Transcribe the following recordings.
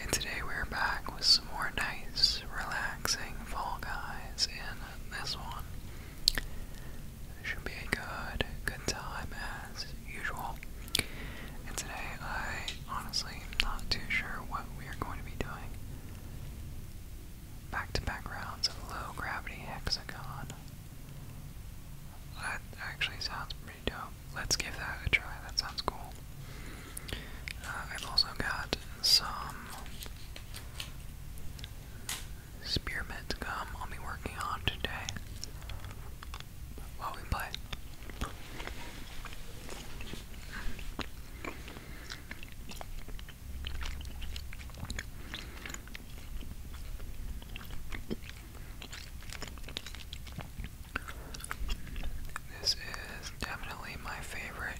And today we're back with some more nice, relaxing Fall Guys in this one. It should be a good, good time as usual. And today I honestly am not too sure what we are going to be doing. Back to back low gravity hexagon. That actually sounds Let's give that a try. That sounds cool. Uh, I've also got some spearmint gum I'll be working on today while we play. This is definitely my favorite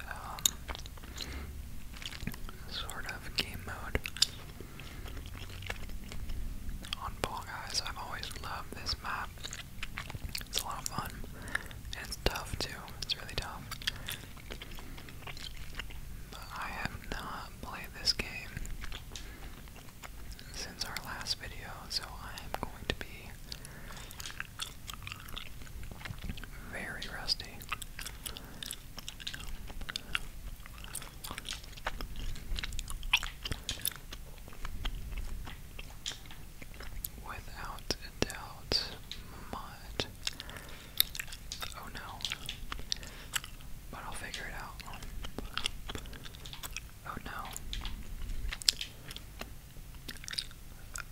um, sort of game mode on Ball Guys. I've always loved this map. It's a lot of fun. it's tough too. It's really tough. I have not played this game since our last video, so I am going to be very rusty. Without a doubt, mud. Oh no. But I'll figure it out. Oh no.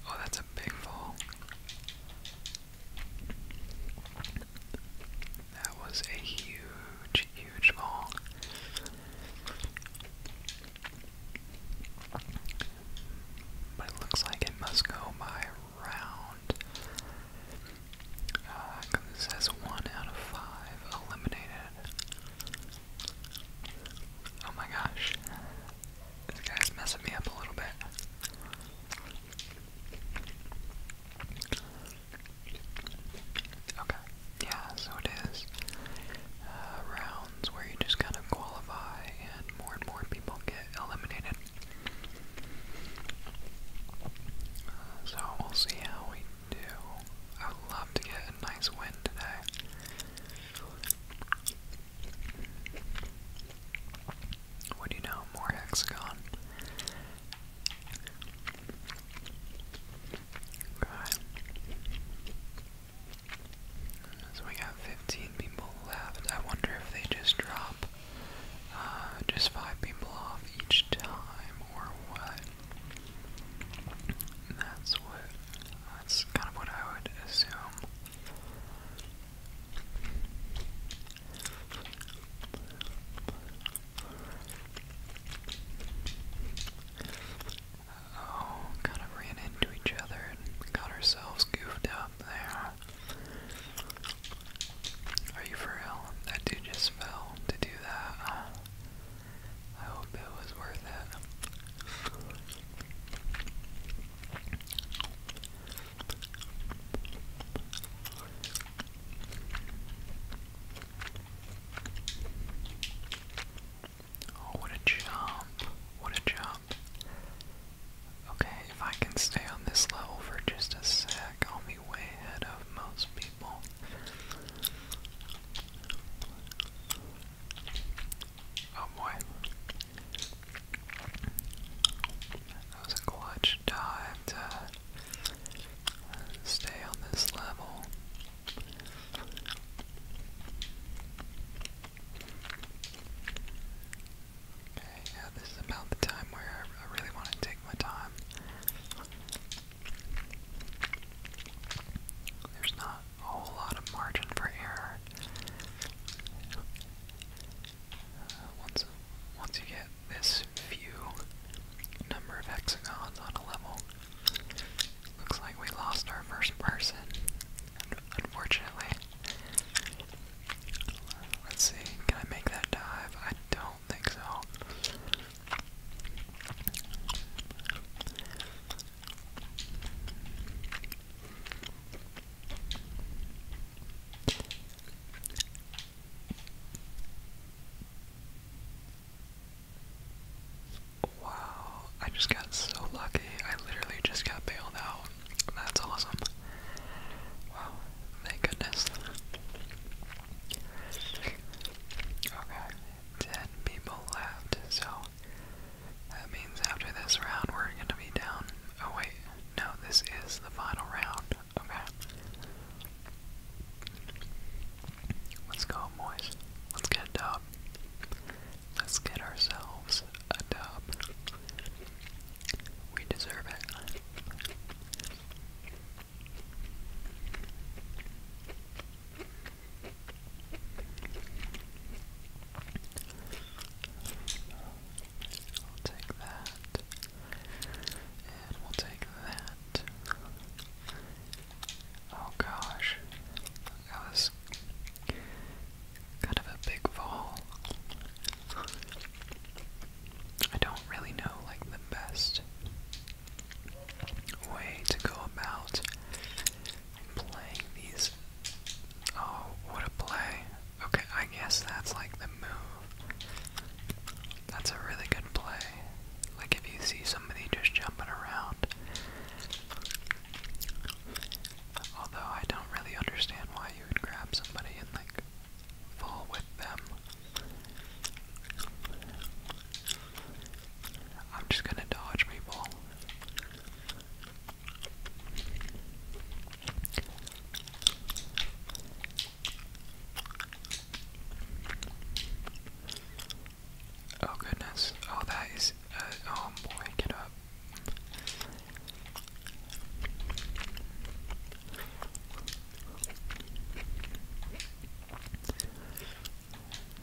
Oh, that's a big fall. That was a huge, huge fall. But it looks like it must go by round. Uh, it says one out of five eliminated. Oh my gosh. This guy's messing me up a little bit. Okay. Yeah, so it is uh, rounds where you just kind of qualify and more and more people get eliminated. Uh, so we'll see how we do. I would love to get a nice win today. What do you know? More hexagon. Right. So we got 15 people left. I wonder if they just drop uh, just five people off each time or what that's what that's kind of what I would assume. Oh, kind of ran into each other and got ourselves goofed up there. Are you for real? That dude just fell to do that. I hope it was worth it. Oh, what a jump! What a jump! Okay, if I can stay on this level for just a sec, I'll way ahead of most people. Oh boy. That was a clutch dive to stay on this level. yeah, this is about the time where I really want to take my time. There's not a whole lot of margin for error. Uh, once, once you get this few number of hexagons on a level, looks like we lost our first person, unfortunately. Let's see, can I make that dive? I don't think so. Wow, I just got so lucky. I literally just got bailed out. That's awesome. Wow, thank goodness. Okay, 10 people left, so that means after this round we're going to be down. Oh, wait, no, this is the final round. Okay. Let's go, boys. Let's get a dub. Let's get ourselves a dub. We deserve it. We'll take that, and we'll take that. Oh gosh, that was kind of a big fall. I don't really know like the best way to go about playing these. Oh, what a play. Okay, I guess that's like the move. That's a really good play. Like if you see somebody just jumping around. Although I don't really understand why you would grab somebody and like fall with them. I'm just gonna dodge people. Oh goodness. Oh, that is. Uh, oh boy, get up.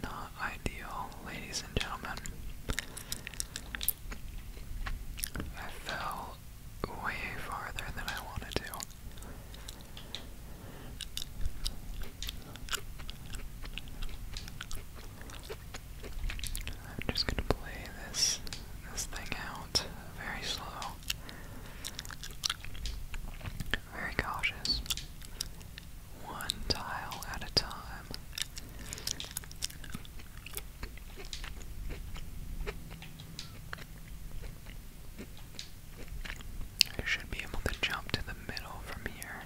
Not ideal, ladies and gentlemen. I fell way farther than I wanted to. I'm just gonna play this this thing out very slow very cautious, one tile at a time. I should be able to jump to the middle from here.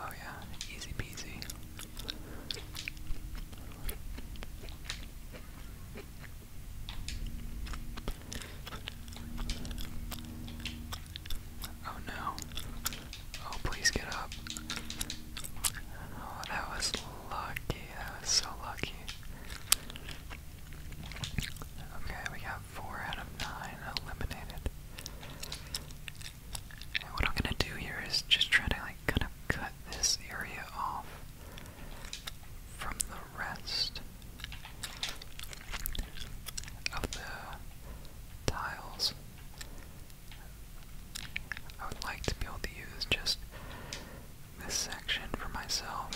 Oh, yeah, easy peasy. Oh no. Oh, please get up. Oh, that was lucky. That was so lucky. Okay, we got four out of nine eliminated. what I'm gonna do here is just try to like kind of cut this area off from the rest of the tiles. I would like to be able to use just this section for myself.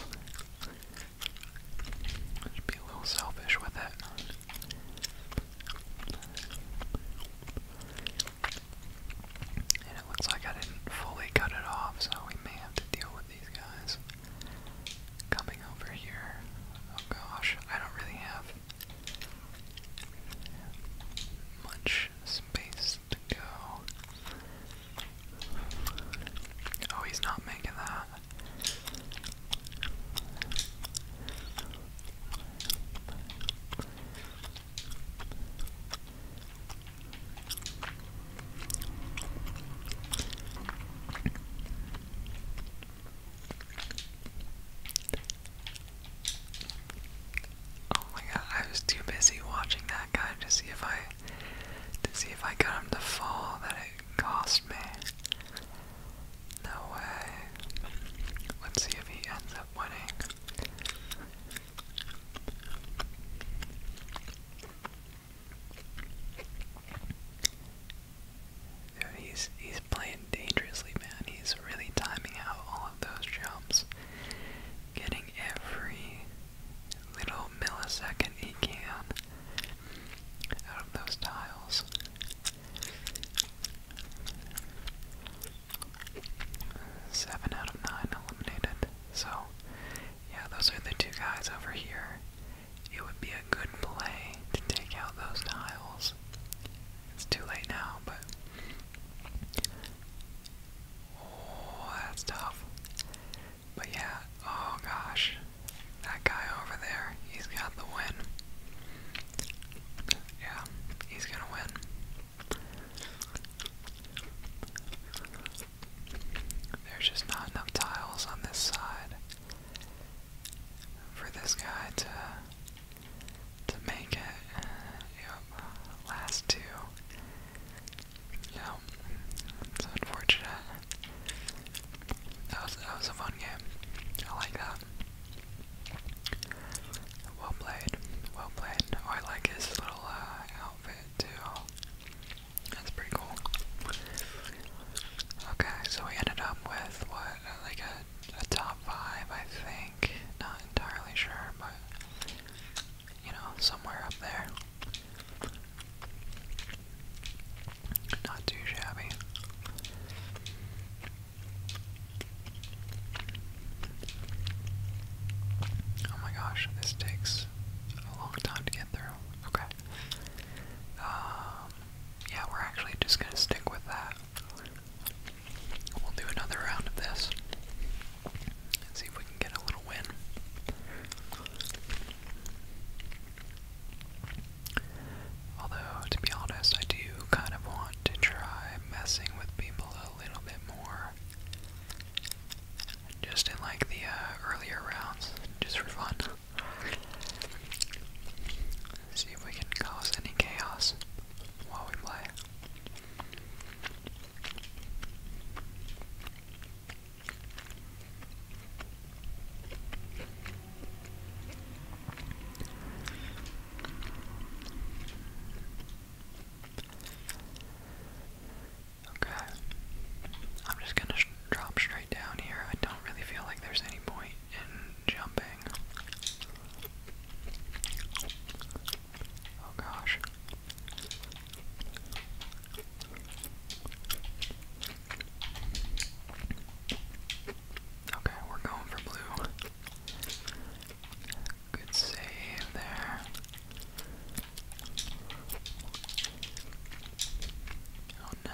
Just be a little selfish with it. And it looks like I didn't fully cut it off, so we may have to deal with these guys coming over here. Oh gosh, I don't really have much space to go. Oh, he's not making that. Oh my god, I was too busy watching that guy to see if I to see if I got him to fall that it cost me. No way. Let's see if he ends up winning he's he's playing dangerously, man. He's really timing out all of those jumps, getting every little millisecond he can out of those tiles. Seven out of nine eliminated. So yeah, those are the two guys over here. It would be a good play to take out those tiles. It's too late now, but. Oh, that's tough. But yeah, oh gosh. That guy over there, he's got the win. Yeah, he's gonna win. There's just not enough tiles on this side for this guy to to make it. Yep, last two. Yep, it's unfortunate. That was that was a fun game. I like that. Well played, well played. Oh, I like his little uh, outfit too. That's pretty cool. Okay, so we ended up with what, like a, top five, I think. Not entirely sure, but you know, somewhere up there. Not too shabby. Oh my gosh, this takes a long time to get through. Okay. Um, yeah, we're actually just gonna stick with that. We'll do another round of this and see if we can get a little win. Although, to be honest, I do kind of want to try messing with people a little bit more just in like the uh, earlier rounds, just for fun. see if we can cause any chaos while we play. Okay. I'm just gonna drop straight down here. I don't really feel like there's any point in jumping. Oh gosh. Okay, we're going for blue. Good save there. Oh no.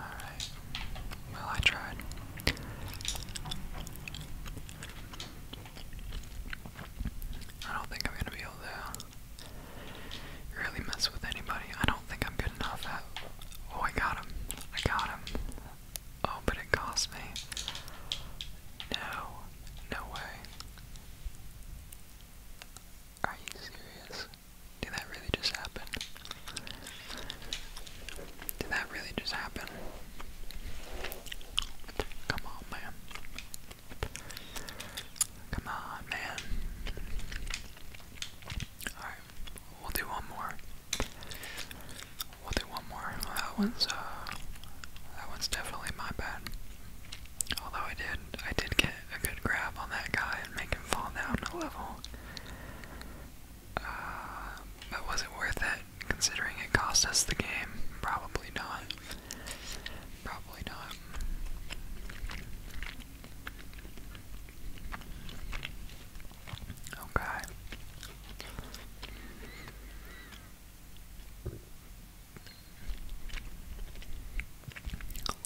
Alright. Well, I tried. I don't think I'm gonna be able to really mess with anybody. I don't think I'm good enough at. Oh, I got him. I got him. Oh, but it cost me. No. No way. Are you serious? Did that really just happen? Did that really just happen? Come on, man. Come on, man. Alright, we'll do one more. We'll do one more. that one's uh that one's definitely my bad. Although I did I did get a good grab on that guy and make him fall down a level. Um, but was it worth it, considering it cost us the game? Probably not. Probably not. Okay.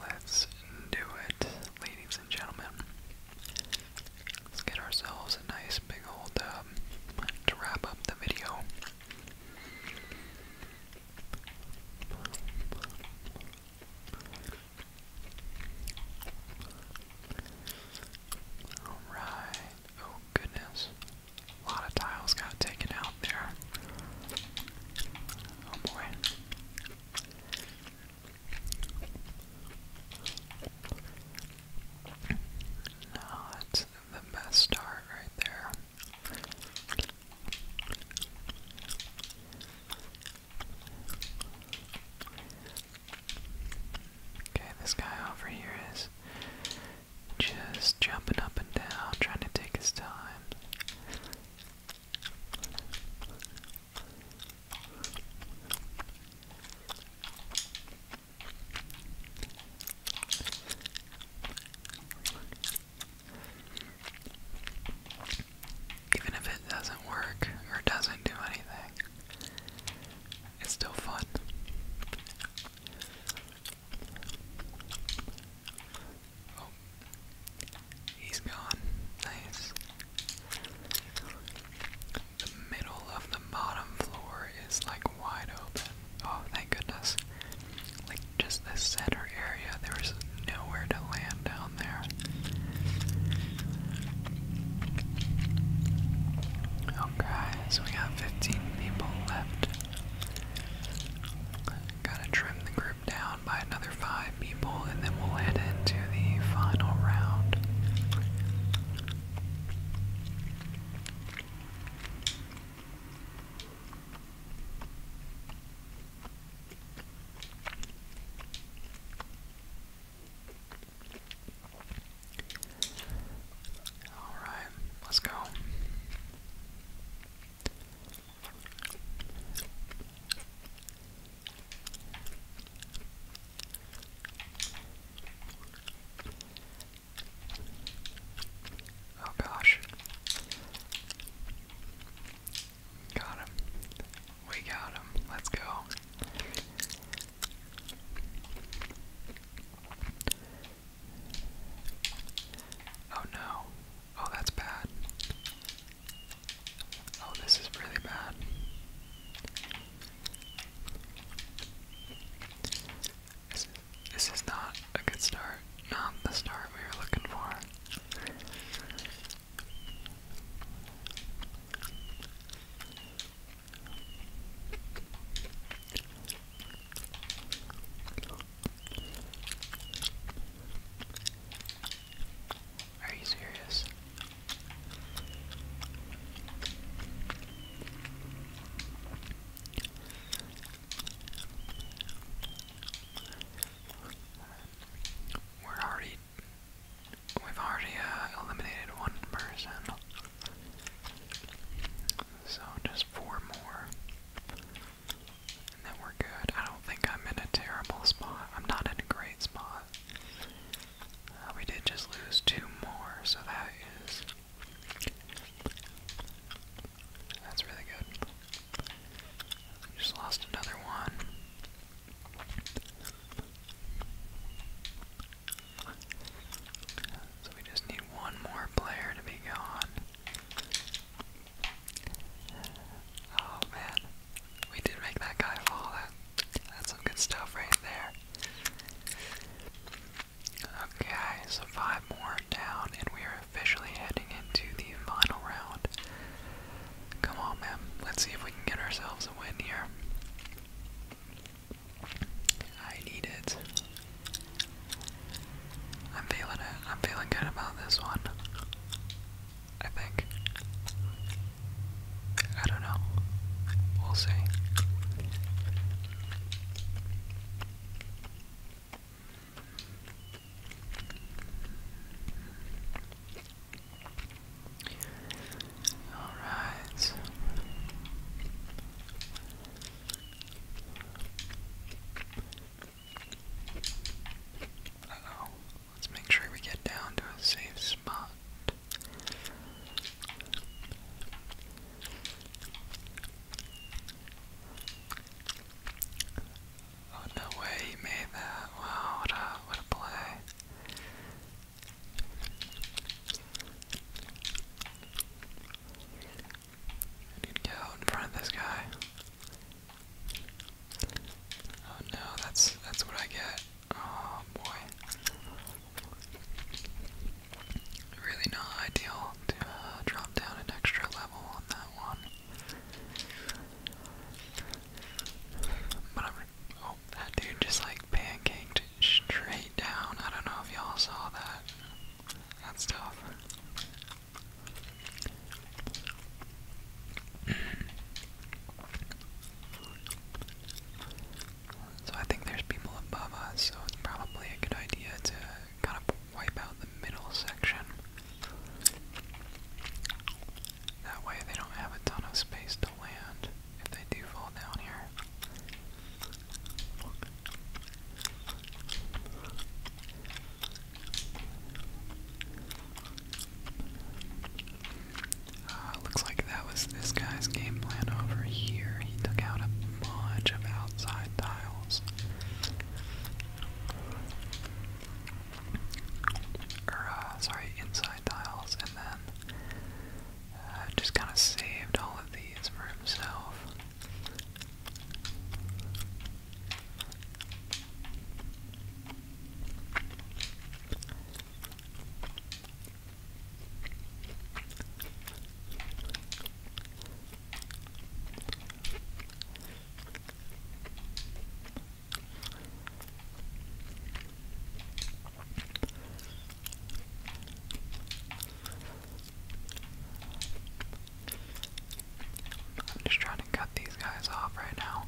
Let's do it, ladies and gentlemen. Let's get ourselves a nice big old um, to wrap up the video. Alright. Oh goodness. A lot of tiles got taken out there. Oh boy. No, the best start right there. Okay, this guy over here is just jumping up and down, trying to take his time. Even if it doesn't work or doesn't do anything, it's still fun. Oh, he's gone. Nice. The middle of the bottom floor is like wide open. Oh, thank goodness. Like just the center area, there's nowhere to land down there. Okay, so we got 15 people left. Gotta trim the group down by another 5 people and then we'll head into the final round. All right, let's go. Oh gosh. Got him. We got him. Let's go. Oh no. Oh, that's bad. Oh, this is really bad. This is, not a good start. Not the start we were looking for. Are you serious? we have already uh, eliminated one person. So just four more. And then we're good. I don't think I'm in a terrible spot. I'm not in a great spot. Uh, we did just lose two more, so that is that's really good. Just lost another one. So we just need one more player to be gone. Oh man, we did make that guy fall. that's some good stuff right there. Okay, so five more down, and we are officially heading into the final round. Come on, man. Let's see if we can get ourselves a win here. I need it. I'm feeling it. I'm feeling good about this one. I think. I don't know. We'll see. All right. Uh Let's make sure we get down to a safe spot. Oh no way he made that. Wow, what a what a play. I need to get in front of this guy. Oh no, that's that's what I get. Oh boy. Really not ideal to uh, drop down an extra level on that one. But Oh, that dude just like pancaked straight down. I don't know if y'all saw that. That's tough. So I think there's people above us, so it's probably a good idea to kind of wipe out the middle section. That way they don't have a ton of space to land if they do fall down here. Uh, looks like that was this guy's game plan over here. He took out a bunch of outside tiles. Or, er, uh, sorry, inside tiles, and then uh, just kind of saved all of these for himself. I'm just trying to cut these guys off right now.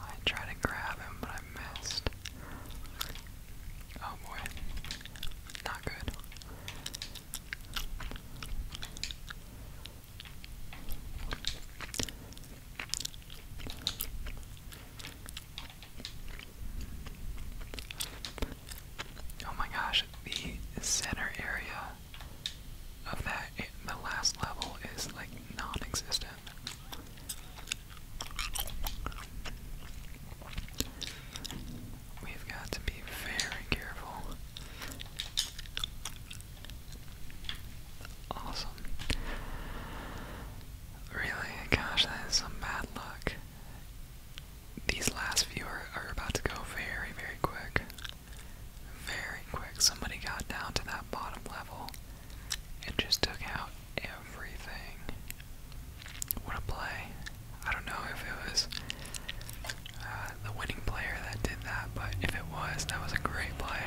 I tried to grab him, but I missed. Oh boy. Not good. Oh my gosh, the center area of that, the last level is like non existent. We've got to be very careful. Awesome. Really, gosh, that is some bad luck. These last few are, about to go very, very quick. Very quick. Somebody got down to that bottom level. It just took out everything. What a play. I don't know if it was uh, the winning player that did that, but if it was, that was a great play.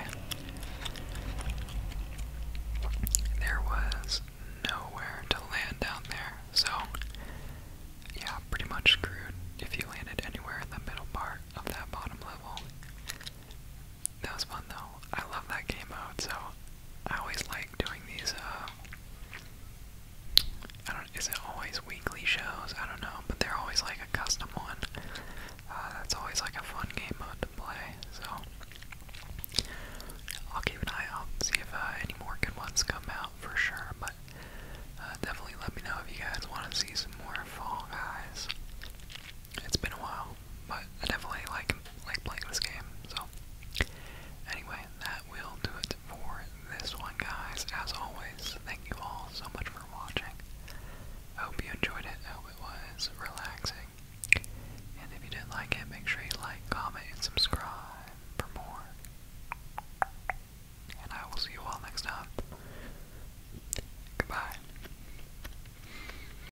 There was nowhere to land down there, so yeah, pretty much screwed if you landed anywhere in the middle part of that bottom level. That was fun though. I love that game mode, so I always like doing these, uh, I don't, is it always weekly shows? I don't know, but they're always like a custom one. Uh, that's always like a fun game mode to play, so I'll keep an eye out and see if uh, any more good ones come out for sure, but uh, definitely let me know if you guys want to see some more Fall Guys. It's been a while, but I definitely like like playing this game. So, anyway, that will do it for this one, guys. As always, thank you all so much for watching. I hope you enjoyed it. I hope it was relaxing. And if you did not like it, make sure you like, comment, and subscribe for more. And I will see you all next time. Goodbye.